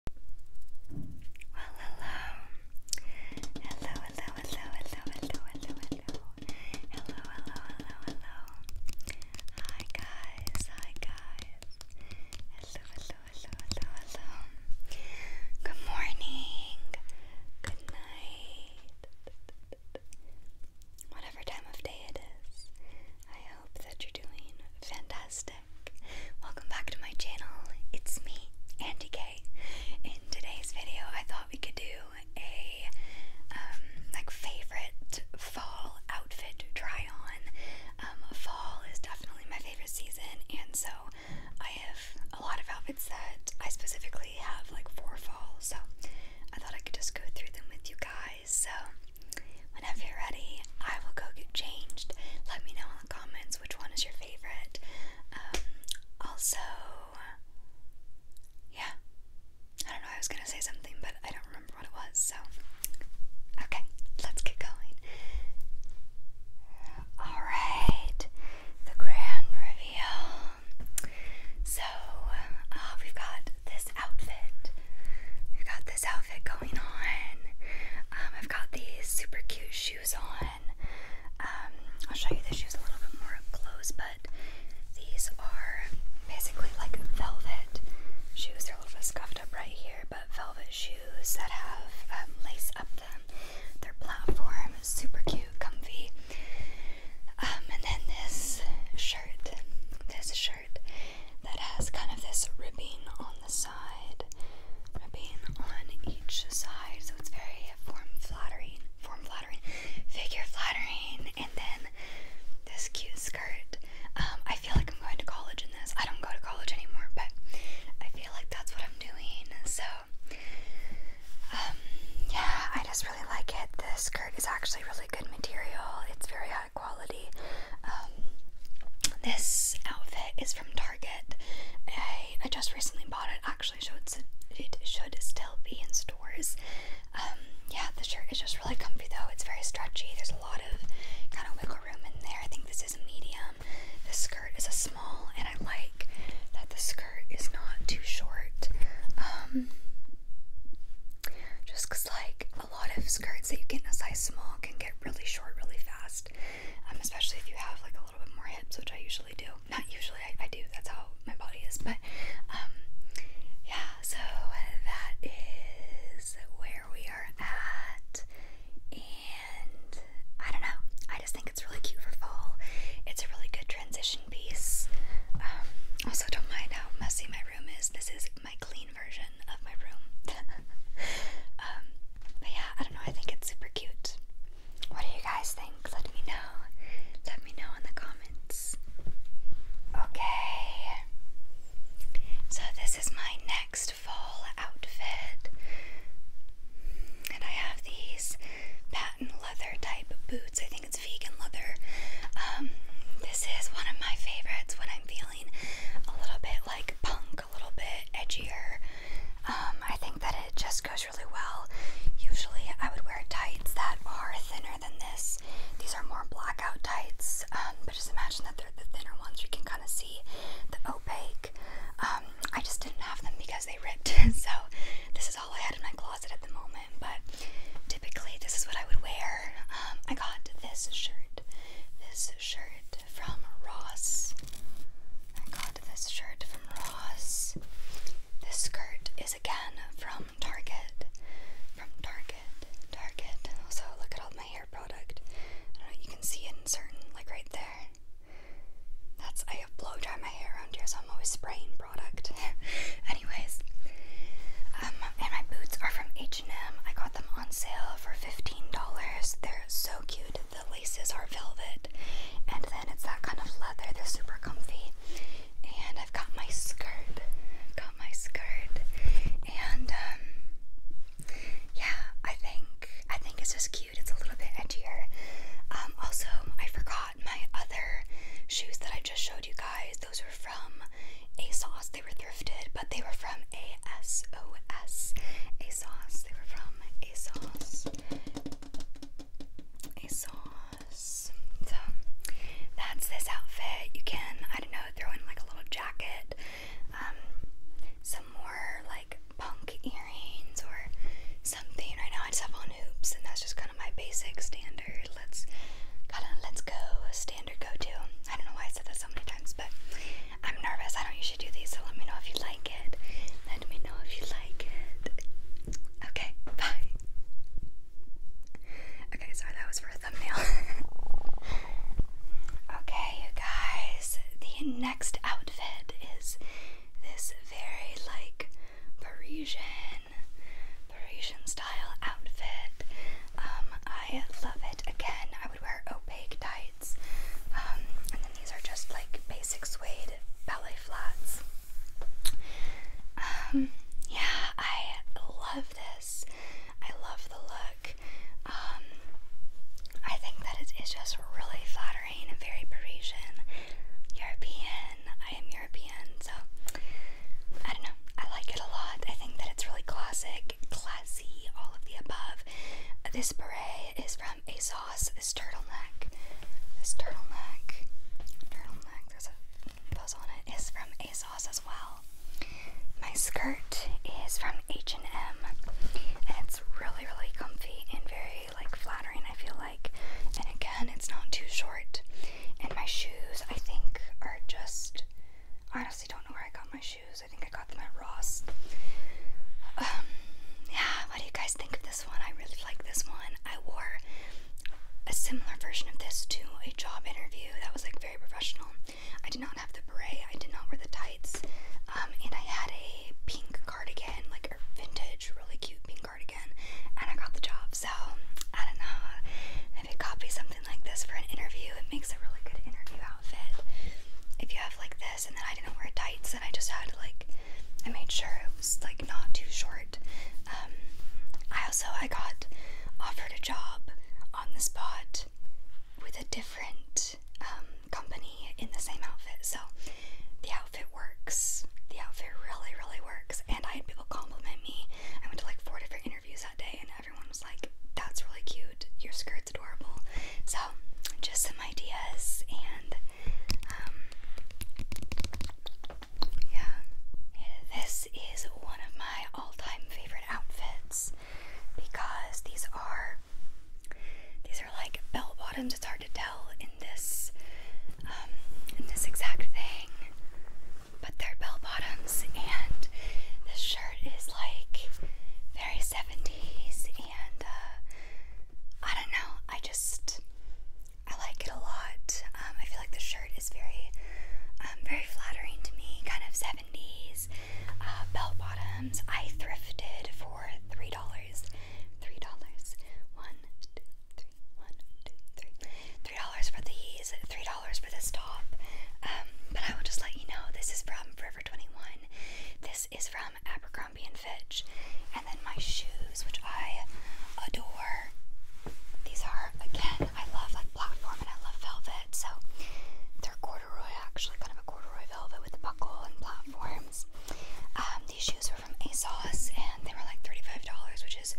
hello, hello, hello, hello, hello. Hello, hello, hello, hello. Hi, guys. Hi, guys. Hello, hello, hello, hello, hello. Good morning. Good night. Whatever time of day it is, I hope that you're doing fantastic. Welcome back to my channel. It's me, Andy K. In today's video, I thought we could do a um, like favorite fall outfit try on. Um, fall is definitely my favorite season, and so I have a lot of outfits that I specifically have like for fall. So I thought I could just go through them with you guys. So Whenever you're ready, I will go get changed. Let me know in the comments which one is your favorite. Um, also, yeah, I don't know, I was gonna say something, but I don't remember what it was, so okay, let's get going. Alright, the grand reveal. So, uh, we've got this outfit. we got this outfit um, I've got these super cute shoes on. Um, I'll show you the shoes a little bit more close, but these are basically like velvet shoes. They're a little bit scuffed up right here, but velvet shoes that have um, lace up them. They're platform, super cute, comfy. and then this shirt, this shirt that has kind of this ribbing on the side side, ribbing on each side. So it's very form flattering, form flattering, figure flattering, and then this cute skirt. Um, I feel like I'm going to college in this. I don't go to college anymore, but I feel like that's what I'm doing. So, um, yeah, I just really like it. The skirt is actually really good material. It's very quality. Um, this outfit is from Target. I, I just recently bought it. Actually, should it should still be in stores. Um, yeah, the shirt is just really comfy though. It's very stretchy. There's a lot of kind of wiggle room in there. I think this is a medium. The skirt is a small, and I like that the skirt is not too short. Um, like a lot of skirts that you get in a size small can get really short really fast, um, especially if you have like a little bit more hips, which I usually do. Not usually, I, I do. That's how my body is. But um, yeah, so that is where we are at, and I don't know. I just think it's really cute for fall. It's a really good transition piece. Um, also, don't mind how messy my room is. This is my clean version of my room. Um, but yeah, I don't know. I think it's super cute. What do you guys think? Let me know. Let me know in the comments. Okay. So this is my next fall outfit. And I have these patent leather type boots. I think it's vegan leather. Um, this is one of my favorites when I'm feeling a little bit like punk a little bit edgier. Um, I think that it just goes really well. Usually, I would wear tights that are thinner than this. These are more blackout tights, um, but just imagine that they're the thinner ones. You can kind of see the opaque. Um, I just didn't have them because they ripped, so this is all I had in my closet at the moment. But typically, this is what I would wear. I got this shirt this shirt from Ross. I got this shirt from Ross. This skirt is again from Target. From Target. Target. Also, look at all my hair product. you can see it in certain, like right there. That's, I have blow dry my hair around here, so I'm always spraying product. Anyways, um, and my boots are from H I got them on sale for $15. They're so cute. The laces are velvet. And then it's that kind of leather. They're super comfy. And I've got my skirt. I've got my skirt. And um, yeah, I think I think it's just cute. It's a little bit edgier. Um, also, I forgot my other shoes that I just showed you guys. Those were from ASOS they were thrifted, but they were from ASOS. A They were from A sauce. So that's this outfit. You can, I don't know, throw in like a little jacket, um, some more like punk earrings or something. Right now I just have on hoops and that's just kind of my basic standard. Let's kind of let's go stand I don't know why I said that so many times, but I'm nervous. I don't usually do these, so let me know if you like it. Let me know if you like it. Okay, bye. Okay, sorry, that was for a thumbnail. okay, guys, the next outfit is this very like Parisian, Parisian style outfit. Um, I love it. Again, would wear opaque tights. Um, and then these are just like basic suede ballet flats. Um, yeah, I love this. I love the look. Um, I think that it is just really flattering and very Parisian, European. I am European, so I don't know. I like it a lot. I think that it's really classic classy, all of the above. This beret is from ASOS. This turtleneck, this turtleneck, turtleneck, there's a buzz on it, is from ASOS as well. My skirt is from H&M it's really, really comfy and very like flattering, I feel like. And again, it's not too short. And my shoes, I think, are just, honestly don't know where I got my shoes. I think I got them at Ross. Um, yeah, what do you guys think of this one? I really like this one. I wore a similar version of this to a job interview that was like very professional. I did not have the beret, I did not wear the tights, um, and I had a pink cardigan, like a vintage, really cute pink cardigan, and I got the job. So, I don't know. If you copy something like this for an interview, it makes a really good interview outfit. If you have like this, and then I didn't wear tights, and I just had like, I made sure it was like not too short. Um, I also I got offered a job on the spot with a different um, company in the same outfit, so the outfit works. The outfit really, really works, and I had people compliment me. I went to like four different interviews that day, and everyone was like, that's really cute, your skirt's adorable. So, just some ideas, and um, yeah, this is one of my all time favorite outfits because these are. These are like bell bottoms. It's hard to tell in this, um, in this exact thing but they're bell bottoms, and this shirt is like very 70s, and uh, I don't know, I just I like it a lot. Um, I feel like the shirt is very, um, very flattering to me, kind of 70s. Uh, bell bottoms, I thrifted for $3. $3. $1, two, three, one, dollars for the these three dollars for this top. Um, but I will just let you know this is from Forever 21. This is from Abercrombie and Fitch. And then my shoes, which I adore. These are again, I love like platform and I love velvet, so they're corduroy actually, kind of a corduroy velvet with the buckle and platforms. Um, these shoes were from ASOS and they were like $35, which is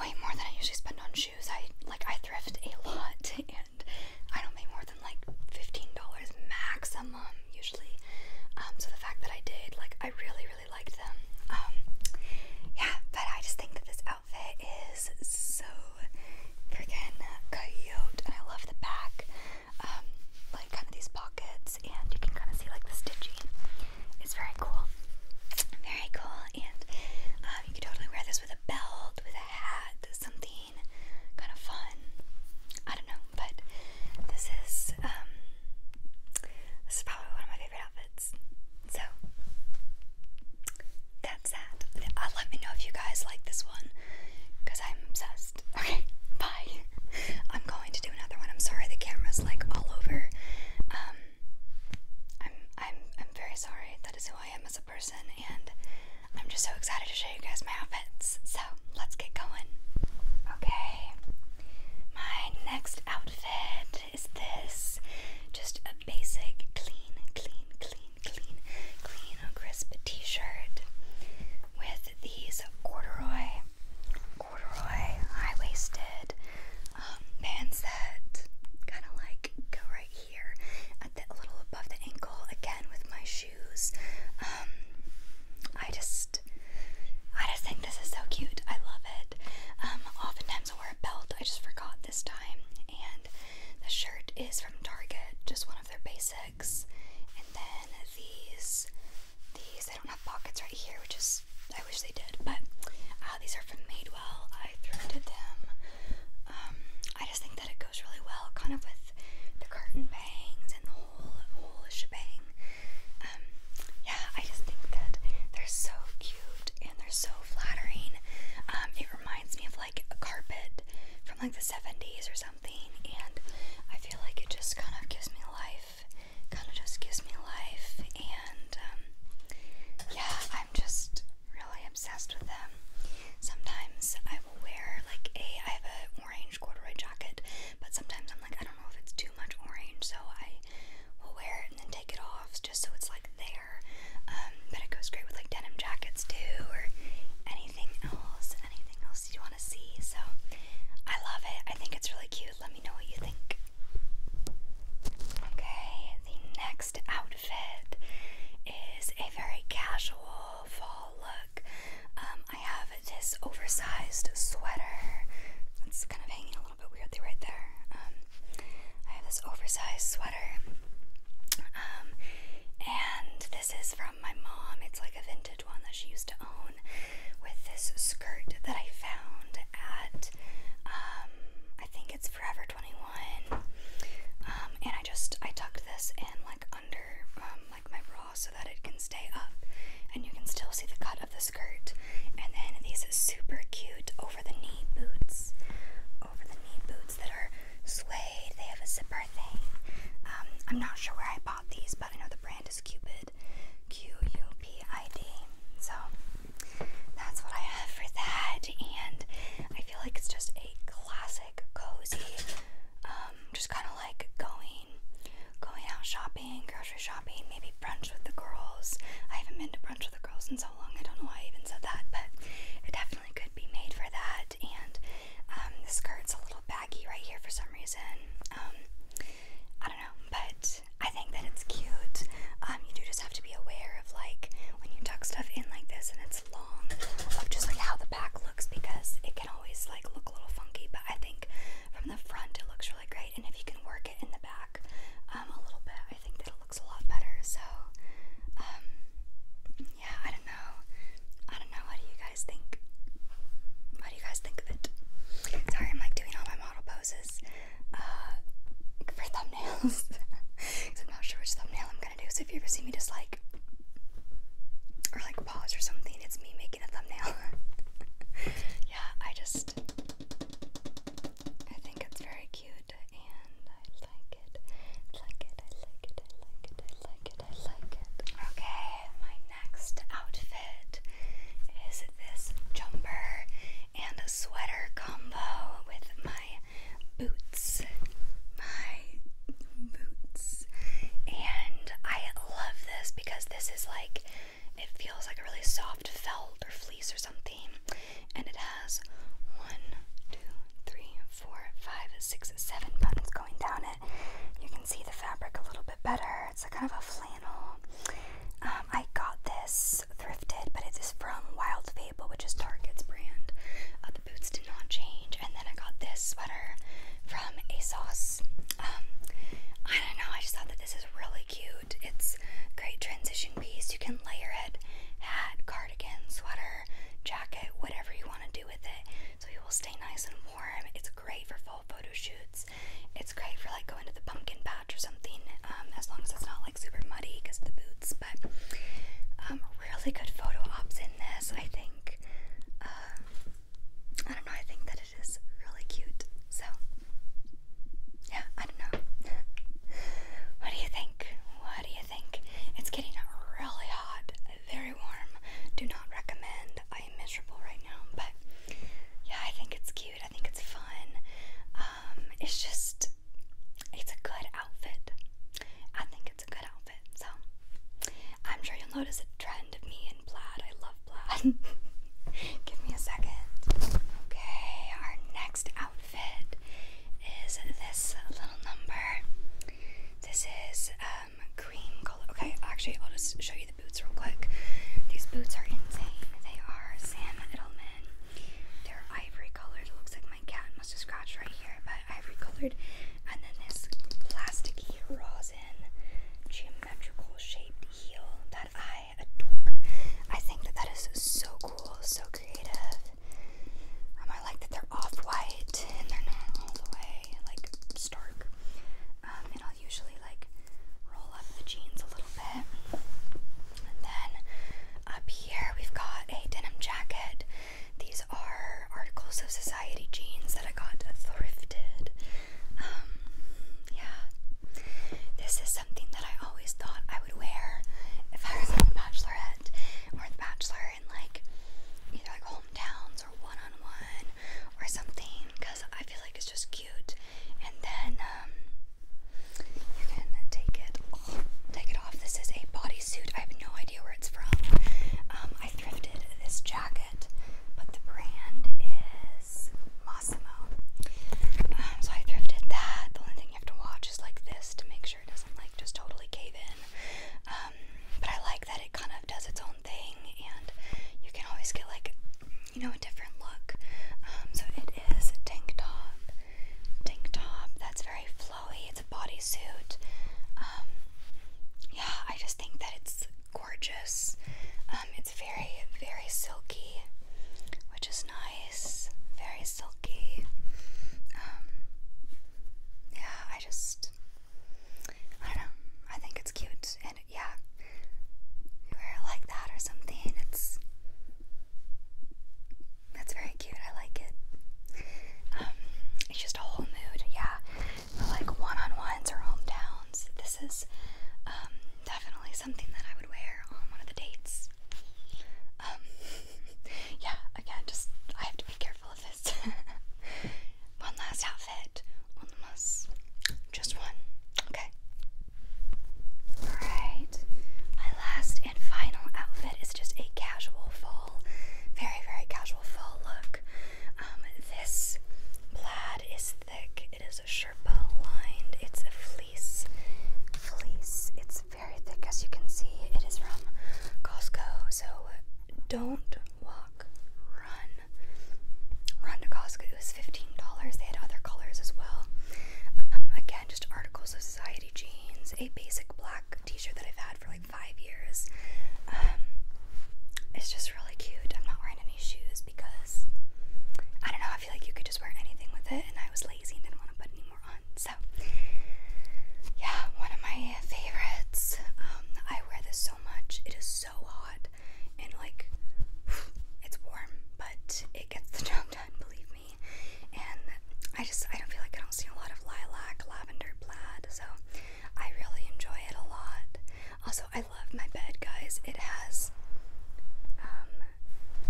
way more than I usually spend on shoes. I like I thrift a lot and I don't pay more than like $15 maximum usually. Um, so the fact that I did, like I really, really liked them. Um, yeah, but I just think that this outfit is so freaking cute and I love the back. Um, like kind of these pockets and you can kind of see like the stitching. It's very cool. Very cool and um, you can totally wear this with a belt, with a hat, something kind of fun. I don't know, but this is um this is probably one of my favorite outfits. So that's that. Uh, let me know if you guys like this one because I'm obsessed. Okay, bye. I'm going to do another one. I'm sorry the camera's like all over. Um, I'm I'm I'm very sorry. That is who I am as a person, and I'm just so excited to show you guys my outfits. So let's get going. Okay, my next outfit is this. Just a basic, clean, clean, clean, clean, clean, crisp T-shirt with these corduroy, corduroy, high-waisted um, that kind of like go right here a little above the ankle again with my shoes. Um, I just, I just think this is so cute. I love it. Um, oftentimes I wear a belt. I just forgot this time, and the shirt is from Target, just one of their basics. And then these, these they don't have pockets right here, which is I wish they did, but uh, these are from Madewell. I threw to them. Um, I just think that it goes really well, kind of with the curtain bangs and the whole whole shebang. Um, yeah, I just think that they're so cute and they're so flattering. Um, it reminds me of like a carpet from like the '70s or something, and I feel like it just kind of gives me life. Kind of just gives me life, and um, yeah, I'm just really obsessed with them. Sometimes I will wear like a I have an orange corduroy jacket, but sometimes I'm like I don't know if it's too much orange, so I will wear it and then take it off just so it's like there. Um, but it goes great with like denim jackets too, or anything else, anything else you want to see. So I love it. I think it's really cute. Let me know what you think. Okay, the next outfit outfit is a very casual fall look. Um, I have this oversized sweater. It's kind of hanging a little bit weirdly right there. Um, I have this oversized sweater. Um, and this is from my mom. It's like a vintage one that she used to own with this skirt that I found at, I think it's Forever 21 um, and I just I tucked this in like under um, like my bra so that it can stay up, and you can still see the cut of the skirt. And then these super cute over the knee boots, over the knee boots that are suede. They have a zipper thing. Um, I'm not sure where I bought these, but I know the brand is Cupid, Q U P I D. So that's what I have for that. And I feel like it's just a classic cozy, um, just kind of like going, going out shopping, grocery shopping, maybe brunch with the girls. I haven't been to brunch with the girls in so long. I don't know why I even said that, but it definitely could be made for that. And um, the skirt's a little baggy right here for some reason. Um, I don't know, but I think that it's cute. Um, you do just have to be aware of like when you tuck stuff in like this and it's long, of just like how the back looks because it can always like look a little funky. But I think from the front it looks really great, and if you can work it in the back um, a little bit, I think that it looks a lot better. So, um, yeah, I don't know. I don't know. What do you guys think? What do you guys think of it? Sorry, I'm like doing all my model poses uh, for thumbnails. Because I'm not sure which thumbnail I'm gonna do. So if you ever see me just like or like pause or something, it's me making a thumbnail. yeah, I just I think it's very cute and I like it. I like it, I like it, I like it, I like it, I like it. Okay, my next outfit is this jumper and a sweater combo with my boots. My boots. And I love this because this is like, it feels like a really soft felt or fleece or something. And it has one, two, three, four, five, six, seven buttons going down it. You can see the fabric a little bit better. It's a kind of a flannel. Um, I got this thrifted, but it is from Wild Fable, which is Target's brand. Uh, the boots did not change, and then I got this sweater from ASOS. Um, I don't know, I just thought that this is really cute. It's great transition piece. You can layer it, at cardigan, sweater, jacket, whatever you want to do with it. So it will stay nice and warm. It's great for full photo shoots. It's great for like go into the pumpkin patch or something, um, as long as it's not like super muddy because of the boots. But um, really good photo ops in this, I think. Uh, I don't know, I think that it is really cute. So, yeah, I don't know. what do you think? What do you think? It's getting really hot, very warm. Do not recommend. I am miserable right now, but yeah, I think it's cute. I think it's fun. Um, um, it's just it's a good outfit. I think it's a good outfit. So I'm sure you'll notice a trend of me in plaid. I love plaid. Give me a second. Okay, our next outfit is this little number. This is um cream color. Okay, actually I'll just show you the boots real quick. These boots are insane. They are Sam Edelman they're ivory colored. looks like my cat must have scratched right here, but ivory colored. And then this plasticky rosin geometrical shaped heel that I adore. I think that that is so cool, so creative. Um, I like that they're off white and they're not all the way like stark. Um, and I'll usually like roll up the jeans a little bit. And then up here we've got a denim jacket. These are Articles of Society jeans that I got thrifted. Um, yeah. This is something that I always thought I would wear if I was on The Bachelorette or The Bachelor in like either like hometowns or one on one or something because I feel like it's just cute. And then, um, you can take it, take it off. This is a bodysuit. I have no idea where it's from. Um, I thrifted this jacket, but the brand is Massimo. Um, so I thrifted that. The only thing you have to watch is like this to make sure it doesn't like just totally cave in. Um, but I like that it kind of does its own thing, and you can always get like you know, a different look. Um, so it is a tank top, tank top that's very flowy. It's a bodysuit. Um, yeah, I just think that it's gorgeous. Um, it's very, very silky, which is nice. Very silky. yeah, I just, I don't know. I think it's cute, and yeah, wear it like that or something. It's that's very cute. I like it. Um, it's just a whole mood, yeah. For like one-on-ones or hometowns, this is um, definitely something that I would wear on one of the dates. Um, yeah. Again, just I have to be careful of this. one last outfit, one last, just one. Okay. Alright, my last and final outfit is just a casual fall, very, very casual fall look. Um, this plaid is thick, it is a Sherpa lined, it's a fleece. Fleece, it's very thick as you can see. It is from Costco, so don't walk, run. Run to Costco. It was $15. They had other colors as well. Um, again, just articles of society jeans, a basic black t-shirt that I've had for like five years. Um, it's just really cute. I'm not wearing any shoes because I don't know. I feel like you could just wear anything with it, and I was lazy and didn't want to put any more on. So, yeah, one of my favorites. Um, I wear this so much. It is so hot and like it's warm, but it gets the job done, believe me. And I just I don't feel like I don't see a lot of lilac, lavender plaid, so I really enjoy it a lot. Also, I love my bed, guys. It has um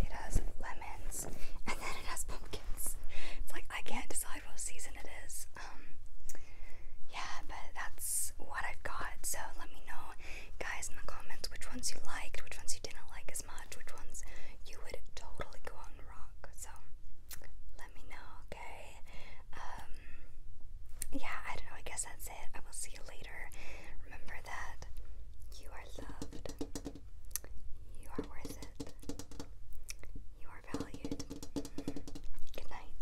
it has lemons and then it has pumpkins. It's like I can't decide what season it is. Um yeah, but that's what I've got. So let me know guys in the comments which ones you liked, which ones you didn't like as much, which ones you would totally go out and rock. So let me know, okay? Um, yeah, I don't know. I guess that's it. I will see you later. Remember that you are loved, you are worth it, you are valued. Good night.